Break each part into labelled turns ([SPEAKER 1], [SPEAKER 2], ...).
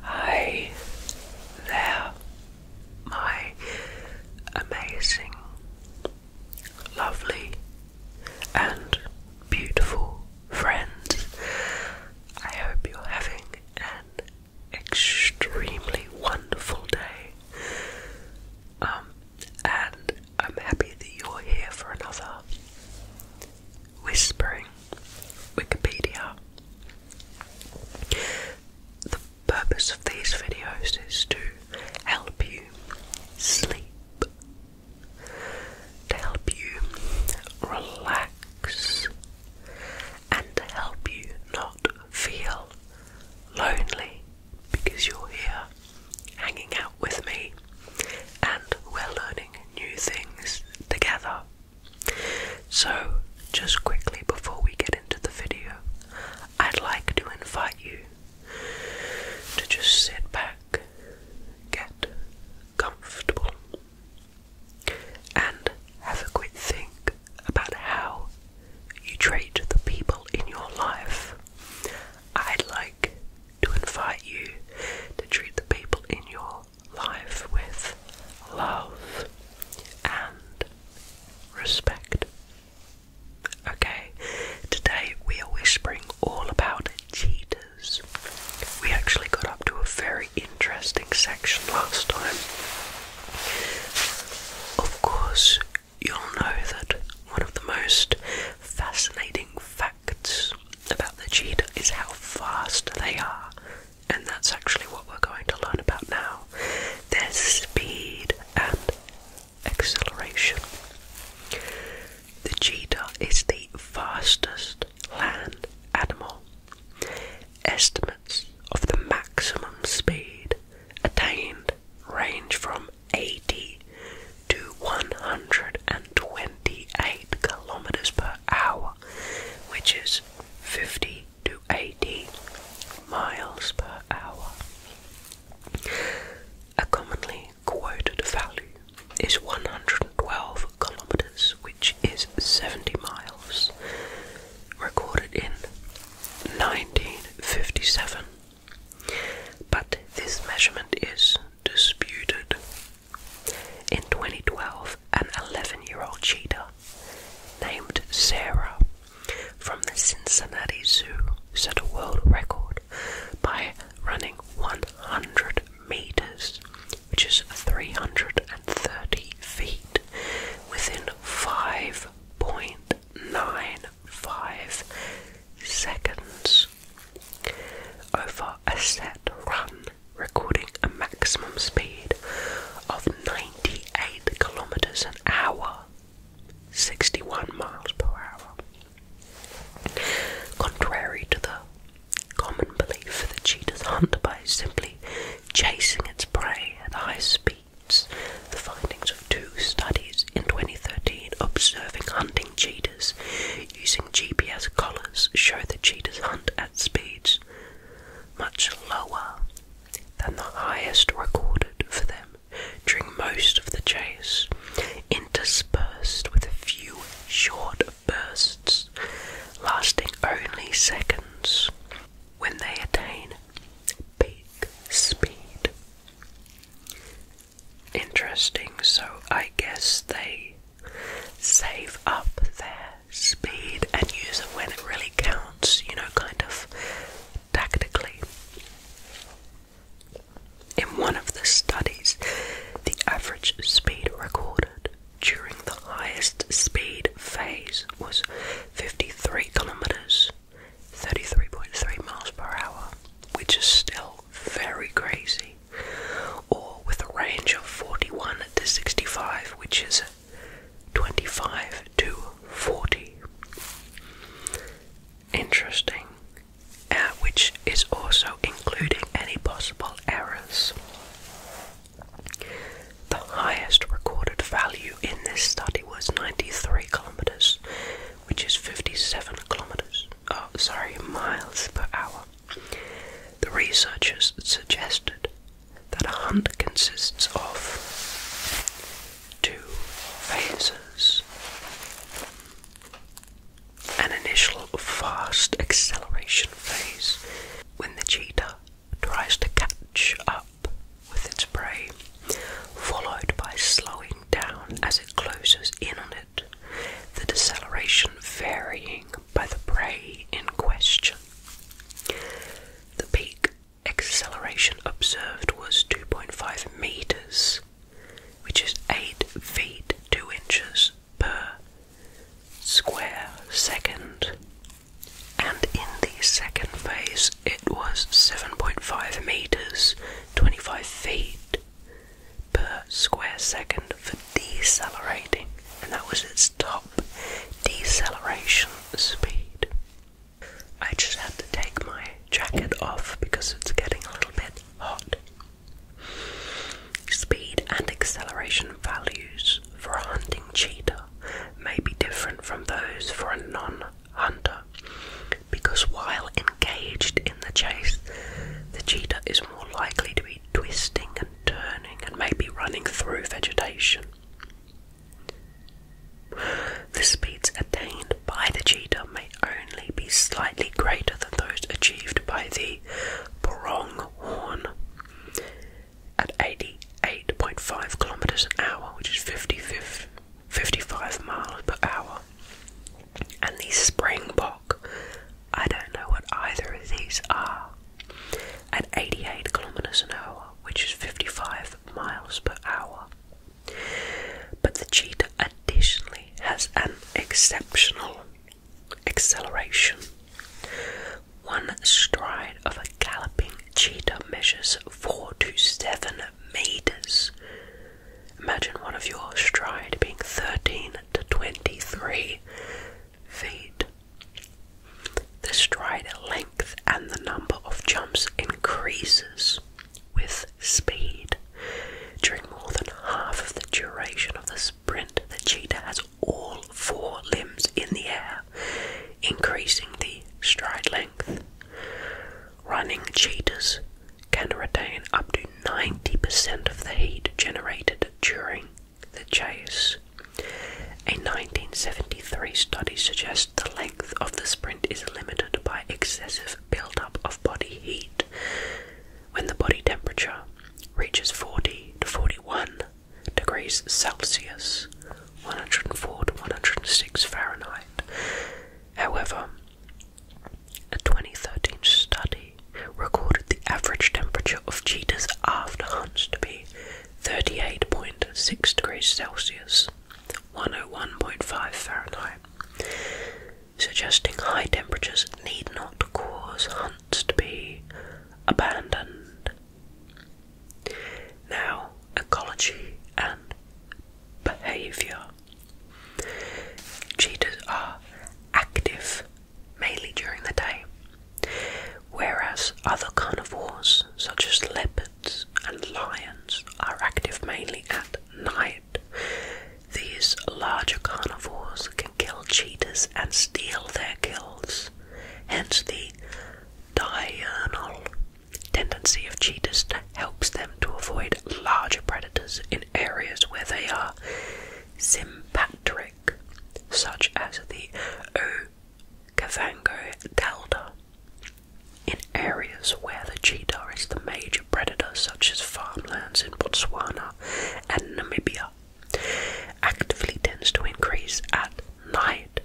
[SPEAKER 1] Hi there, my amazing, lovely, and beautiful friends. I hope you're having an extremely wonderful day. Um, and I'm happy that you're here for another Whispering Wikipedia. The purpose of these videos is to help you sleep, to help you relax, and to help you not feel lonely because you're here hanging out with me and we're learning new things together. So, just quickly before we get into the video, I'd like to invite you to just sit back, get comfortable, and have a quick think about how you treat the people in your life. I'd like to invite you to treat the people in your life with love and respect. Okay, today we are whispering all about cheetahs. We actually got up to a very interesting section last time. Of course, you'll know that one of the most fascinating facts about the cheetah is how fast they are and that's actually what we're going to learn about now their speed and acceleration. The cheetah is the fastest land animal. Estimates of the maximum speed attained range from 80 to 128 kilometers per hour, which is 50 to 80 miles per hour. A commonly quoted value is 112 kilometers, which is 70 miles, recorded in 1957. But this measurement is disputed in 2012, an 11 year old cheetah named Sarah from the Cincinnati Zoo set a world record by running 100 meters, which is 330 feet, within 5.95 seconds. Over a set run, recording a maximum speed of 98 kilometers an hour, 61 miles per hour. Contrary to the common belief, that cheetah's hunt by simply chasing its prey at high speeds, the findings of two studies in 2013 observing hunting cheetahs using GPS collars show that cheetahs hunt at speeds much lower than the highest recorded for them during most of the chase, interspersed with a few short bursts lasting only seconds when they attain peak speed. Interesting, so I guess they save up their speed and use it when it really counts, you know, kind of tactically. In one of the studies, the average speed recorded during the highest speed phase was 53 kilometers, 33.3 miles per hour, which is still very crazy or with a range of 41 to 65, which is 25 to 40. Interesting, uh, which is also including any possible errors. The highest recorded value in this study was 93 kilometers, which is 57 kilometers. Oh, sorry, miles per hour. The researchers suggested that a hunt consists of two phases an initial fast acceleration phase when the cheetah tries to catch up with its prey, followed by slowing down as it closes in on it, the deceleration varying by the prey in question. The peak acceleration observed was 2.5 meters, which is 8 feet 2 inches per square second. And in the second phase, it was 7.5 meters, 25 feet per square second for decelerating, and that was its top deceleration speed. I just had to take my jacket off because it's getting a little bit hot. Speed and acceleration values for a hunting cheetah may be different from those for a non hunter because while engaged in the chase, the cheetah is more likely to be twisting and turning, and maybe running through vegetation. The speeds attained by the cheetah may only be slightly greater than those achieved by the pronghorn at 88.5 kilometers an hour, which is 55, miles per hour, and the springbok I don't know what either of these are. At 88 kilometers an hour, which is 55 miles per hour. But the cheetah additionally has an exceptional acceleration. One stride of a galloping cheetah measures 4 to 7 meters. Imagine one of your stride being 13 to 23 feet. The stride length and the number of jumps increases with speed. During more than half of the duration of the sprint, the cheetah has all four limbs in the air, increasing the stride length. Running cheetahs can retain up to 90% of the heat generated during the chase. A 1973 study suggests the length of the sprint is limited by excessive buildup of body heat. When the body temperature reaches 40 to 41 degrees Celsius, 104 to 106 Fahrenheit. However, a 2013 study recorded the average temperature of cheetahs after hunts to be 38.6 degrees Celsius, 101.5 Fahrenheit, suggesting high temperatures need not cause hunts to be abandoned. Now, ecology and behaviour. Cheetahs are active mainly during the day, whereas other carnivores such as leopards and lions are active mainly at night. These larger carnivores can kill cheetahs and steal their kills, hence the diurnal tendency of cheetahs helps them to avoid larger predators in areas where they are sympatric such as the Okavango Delta. In areas where the cheetah is the major predator, such as farmlands in Botswana and Namibia, actively tends to increase at night.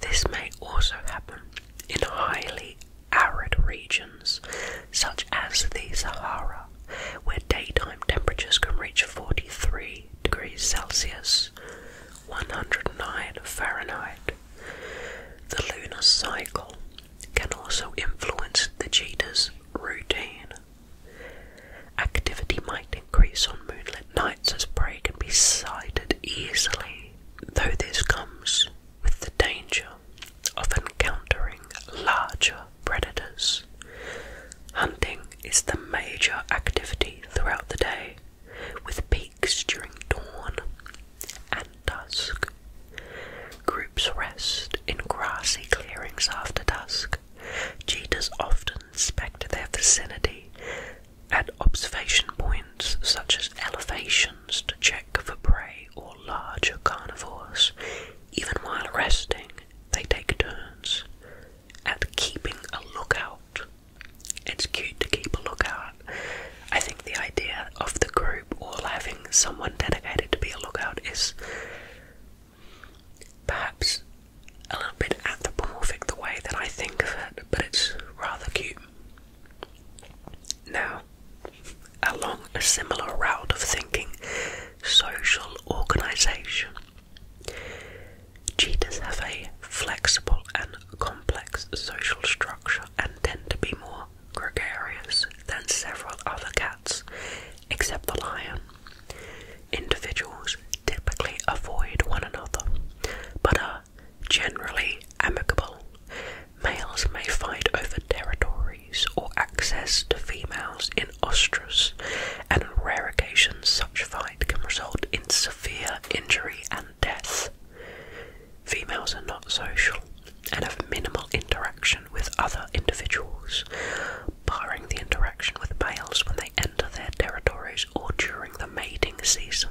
[SPEAKER 1] This may also happen in highly arid regions, such as the Sahara, where daytime temperatures can reach 43 degrees Celsius, 109 Fahrenheit. The lunar cycle can also influence the cheetah's routine. Activity might increase on moonlit nights as prey can be sighted easily, though this comes with the danger of encountering larger predators. Hunting is the major activity throughout the day, with peaks during dawn and dusk. Groups rest in grassy clearings after dusk. Cheetahs often inspect their vicinity at observation points such as elevations to check for prey or larger carnivores. Even while resting, they take turns at keeping a lookout. It's cute to keep a lookout. I think the idea of the group all having someone dedicated to be a lookout is perhaps a little bit anthropomorphic the way that I think of it, but it's rather cute. Now, along a similar route of thinking, social organisation Cheetahs have a flexible and complex social structure and tend to be more gregarious than several other cats, except the lion. Individuals typically avoid one another, but are generally amicable. Males may fight over territories or access to females in in and on rare occasions such fight can result in severe injury and death. Females are not social and have minimal interaction with other individuals, barring the interaction with males when they enter their territories or during the mating season.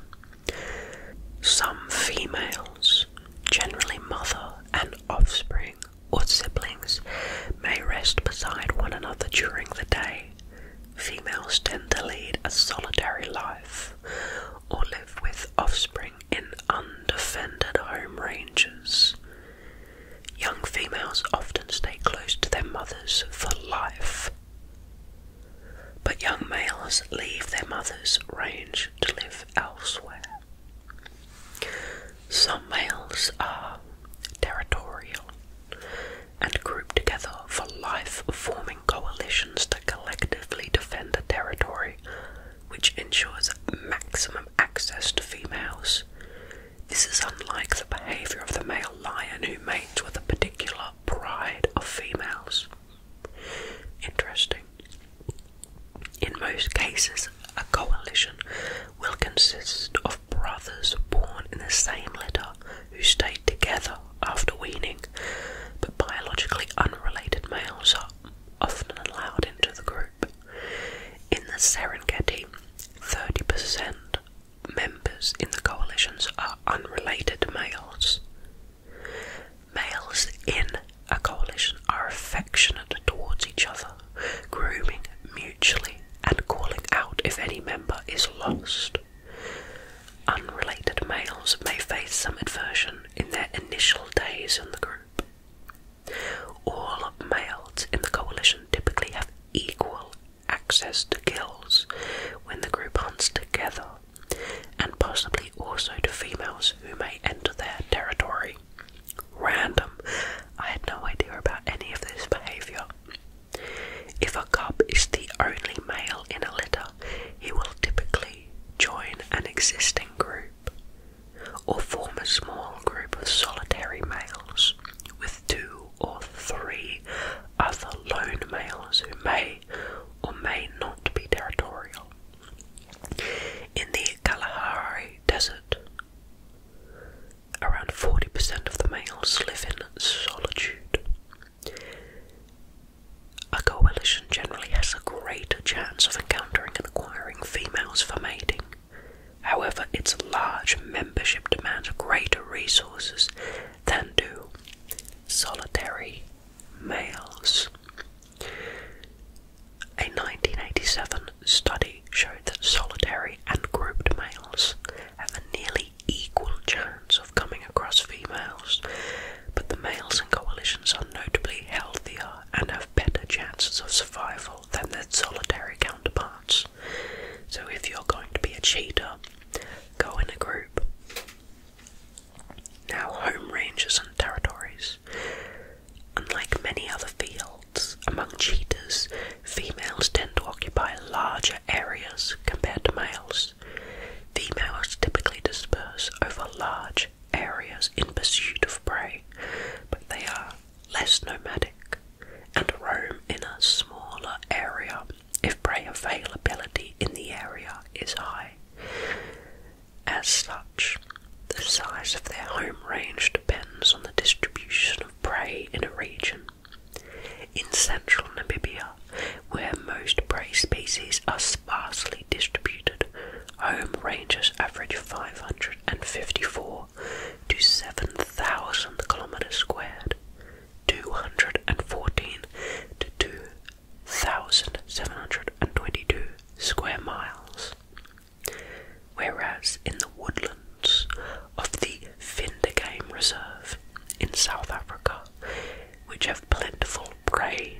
[SPEAKER 1] Some females, generally mother and offspring, or siblings may rest beside one another during the day. Females tend to lead a solitary life or live with offspring in undefended home ranges. Young females often stay close to their mothers for life, but young males leave their mother's range to live elsewhere. Some males are territorial and group together for life, forming coalitions to collectively defend a territory which ensures maximum access to females. This is unlike the behaviour of the male lion who mates with a particular pride of females. Interesting. In most cases, a coalition will consist of brothers born in the same litter who stayed together after weaning, but biologically unrelated males are often allowed into the group. In the Serengeti, 30% members in the coalitions are unrelated males. Males in a coalition are affectionate towards each other grooming mutually and calling out if any member is lost. Unrelated males may face some aversion in their initial days in the group. All males in the coalition typically have equal access to kills when the group hunts together, and possibly also to females who may enter their territory. Random. I had no idea about any of this behaviour. If a cub is the only male in a litter, he will typically join an existing group or form a small group of solitary males with two or three other lone males who may or may not be territorial. In the Kalahari Desert, Around 40% of the males live in solitude. A coalition generally has a greater chance of encountering and acquiring females for mating. However, its large membership demands greater resources than do solitary males. A 1987 study showed that solitary and grouped males have a nearly equal chance of coming across females, but the males in coalitions are notably healthier and have better chances of survival than their solitary counterparts. So if you're going to be a cheater, go in a group. Now, home ranges and territories. Unlike many other fields, among cheetahs, females tend to occupy larger areas compared to males. Females typically disperse over large areas in pursuit of prey, but they are less nomadic and roam in a smaller area if prey availability in the area is high. As such, the size of their home range depends on the distribution prey in a region. In central Namibia, where most prey species are sparsely distributed, home ranges average 554 to 7,000 kilometers squared, 214 to 2,722 square miles whereas in the woodlands of the Finder Game Reserve in South Africa, which have plentiful prey,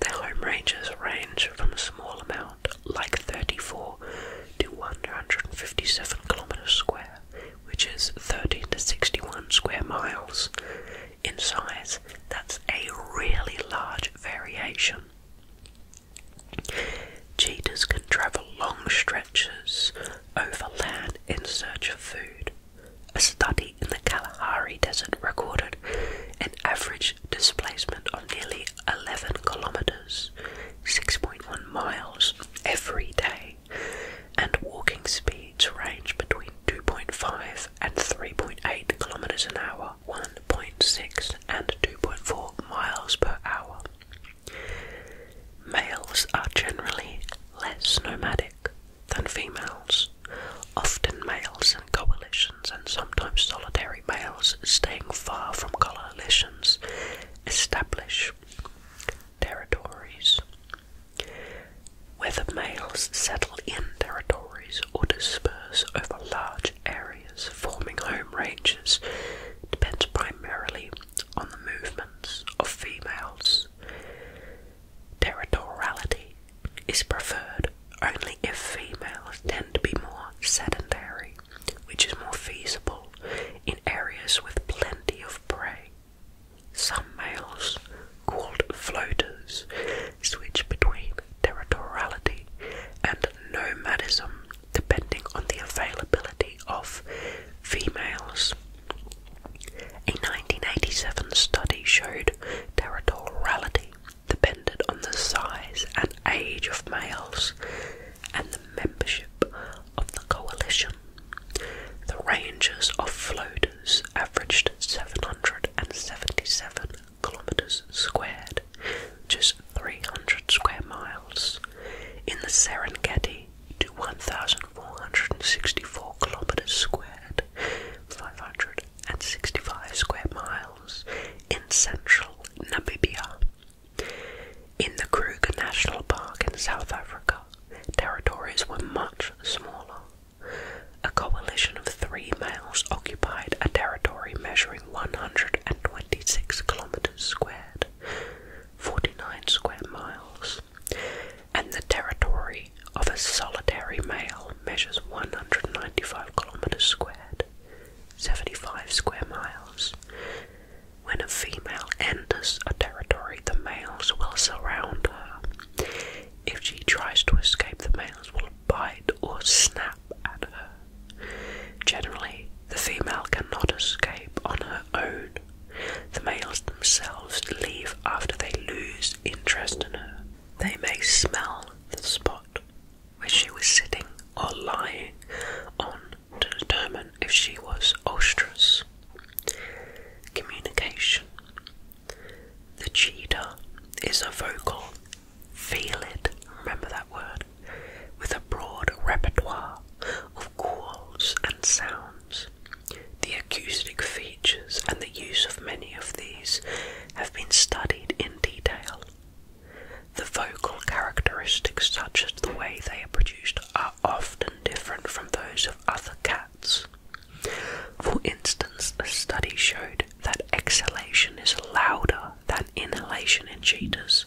[SPEAKER 1] their home ranges range from a small amount, like 34, to 157 kilometers square, which is 13 to 61 square miles. In size, that's a really large variation. Cheetahs can travel long stretches over land in search of food. A study in the Kalahari Desert recorded an average displacement of nearly 11 kilometers, 6.1 miles every day, and walking speeds range between 2.5 and 3.8 kilometers an hour, 1.6 and 2.4 miles per hour. Males are generally less nomadic than females. Often males in coalitions and sometimes solitary males staying far from coalitions establish territories. Whether males settle in territories or disperse over large areas forming home ranges depends primarily on the movements of females. Territoriality is preferred only if females tend to be more sedentary, which is more feasible in areas with plenty of prey. Some males, called floaters, switch between territoriality and nomadism depending on the availability of females. A 1987 study showed territoriality depended on the size and age of males and the membership of the coalition. The ranges of floaters averaged 777 kilometers squared, which is 300 square miles in the Serengeti to 1,464 kilometers squared, 565 square miles in central Namibia. In the Kruger National Park in South Africa, territories were much smaller. A coalition of three males occupied a territory measuring 126 kilometers squared, 49 square miles, and the territory of a solitary male measures 195 kilometers squared, 75 square miles. When a female enters a territory, the males will surround her. If she tries to escape, the males will bite or snap at her. Generally, the female cannot escape on her own. The males themselves leave after they lose interest in her. They may smell the spot where she was sitting or lying on to determine if she was ostrous. Communication. The cheetah is a vocal, feel it, remember that word, with a broad repertoire of calls and sounds. The acoustic features and the use of many of these have been studied in detail. The vocal characteristics, such as the way they are produced, are often different from those of other cats. For instance, a study showed that exhalation is louder than inhalation in cheetahs,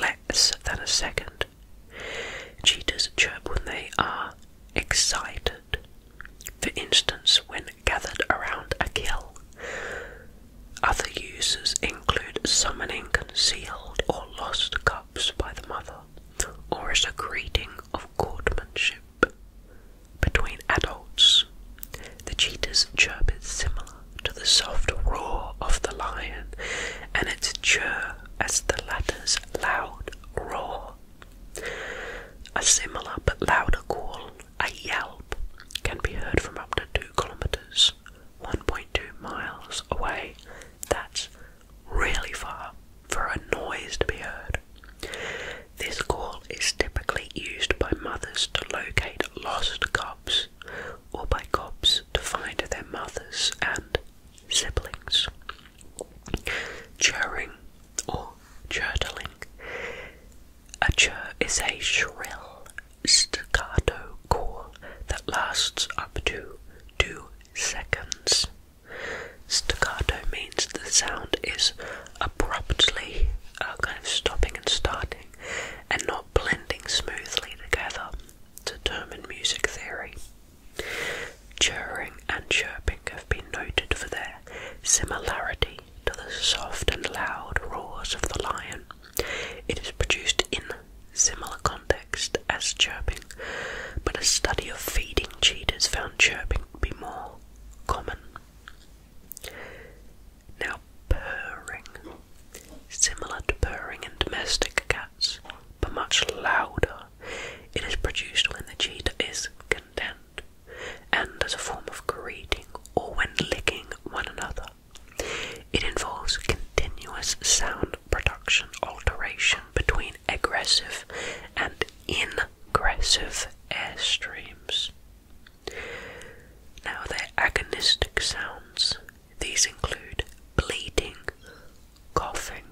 [SPEAKER 1] less than a second. Cheetahs chirp when they are excited. For instance, when gathered around a kill. Other uses include summoning concealed or lost cubs by the mother, or as a greeting of courtmanship between adults. The cheetah's chirp is similar to the soft roar of the lion, and its chirr as the latter's loud roar. A similar but louder call, a yelp, can be heard from up to 2 kilometers, 1.2 miles away. That's really far for a noise to be heard. This call is typically used by mothers to locate lost cubs or by cubs to find their mothers and siblings. Churring or chortling. A chur is a shrill staccato call that lasts up to two seconds. Staccato means the sound is abruptly uh, kind of stopping and starting and not blending smoothly together to determine music theory. Churring and chirping have been noted for their similarity to the soft and loud roars of the lion. It is produced in similar context as chirping, but a study of feeding cheetahs found chirping to be more common. Now, purring, similar to purring in domestic cats, but much louder, it is produced when the cheetah is content and as a form of greeting or when licking one another. It involves continuous sound production alteration between aggressive and ingressive airstreams. Now, their agonistic sounds, these include bleating, coughing,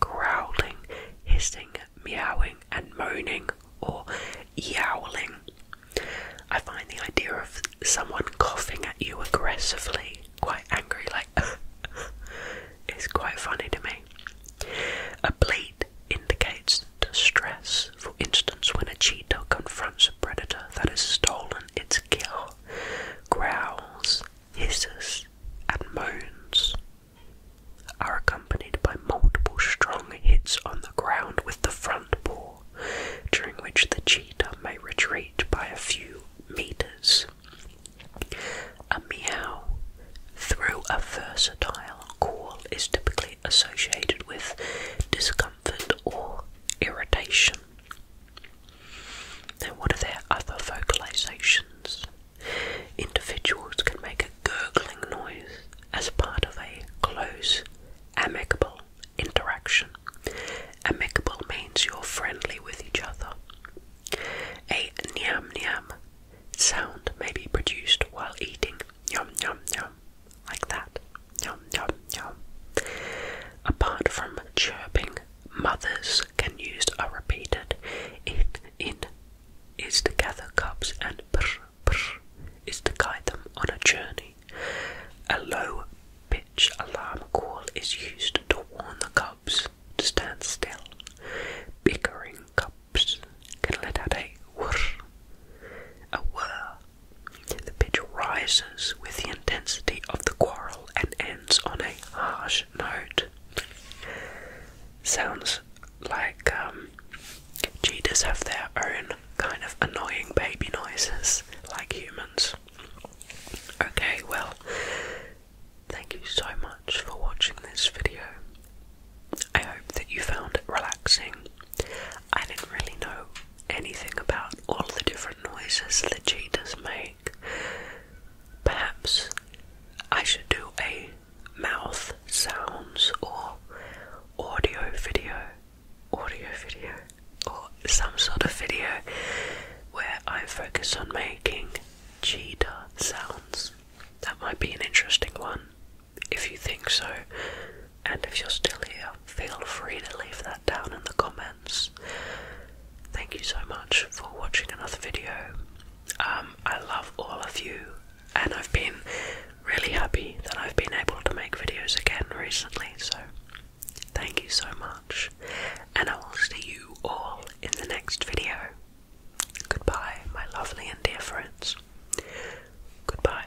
[SPEAKER 1] growling, hissing, meowing, and moaning, or yowling. I find the idea of someone coughing at you aggressively, quite angry, like, It's quite funny to me. A bleat indicates distress for instance, when a cheetah confronts a predator that has stolen its kill, growls, hisses, and moans are accompanied by multiple strong hits on the ground with the front paw, during which the cheetah may retreat by a few meters. A meow, through a versatile call, is typically associated with discomfort or irritation. Then, what are their other vocalizations? Individuals can make a gurgling noise as part of a close, amicable interaction. Amicable means you're friendly with each other. A nyam nyam sound may be produced while eating. Yum, yum, yum like that. Yum, yum, yum. Apart from chirping, mothers can use a repeated in, in is to gather cubs and brr, brr is to guide them on a journey. A low pitch alarm call is used to warn the cubs to stand still. Bickering cubs can let out a whir. A whir the pitch rises with the intensity of the quarrel and ends on a harsh note. Sounds like um, cheetahs have their own kind of annoying baby noises, like humans. Okay, well, thank you so much for watching this video. I hope that you found it relaxing I didn't really know anything about all the different noises that cheetahs make. Perhaps I should do a mouth sounds or audio video, audio video, or some sort of video where I focus on making cheetah sounds. That might be an interesting one. If you think so, and if you're still here, feel free to leave that down in the comments. Thank you so much for watching another video. Um, I love all of you, and I've been really happy that I've been able to make videos again recently. So, thank you so much, and I will see you all in the next video. Goodbye, my lovely and dear friends. Goodbye.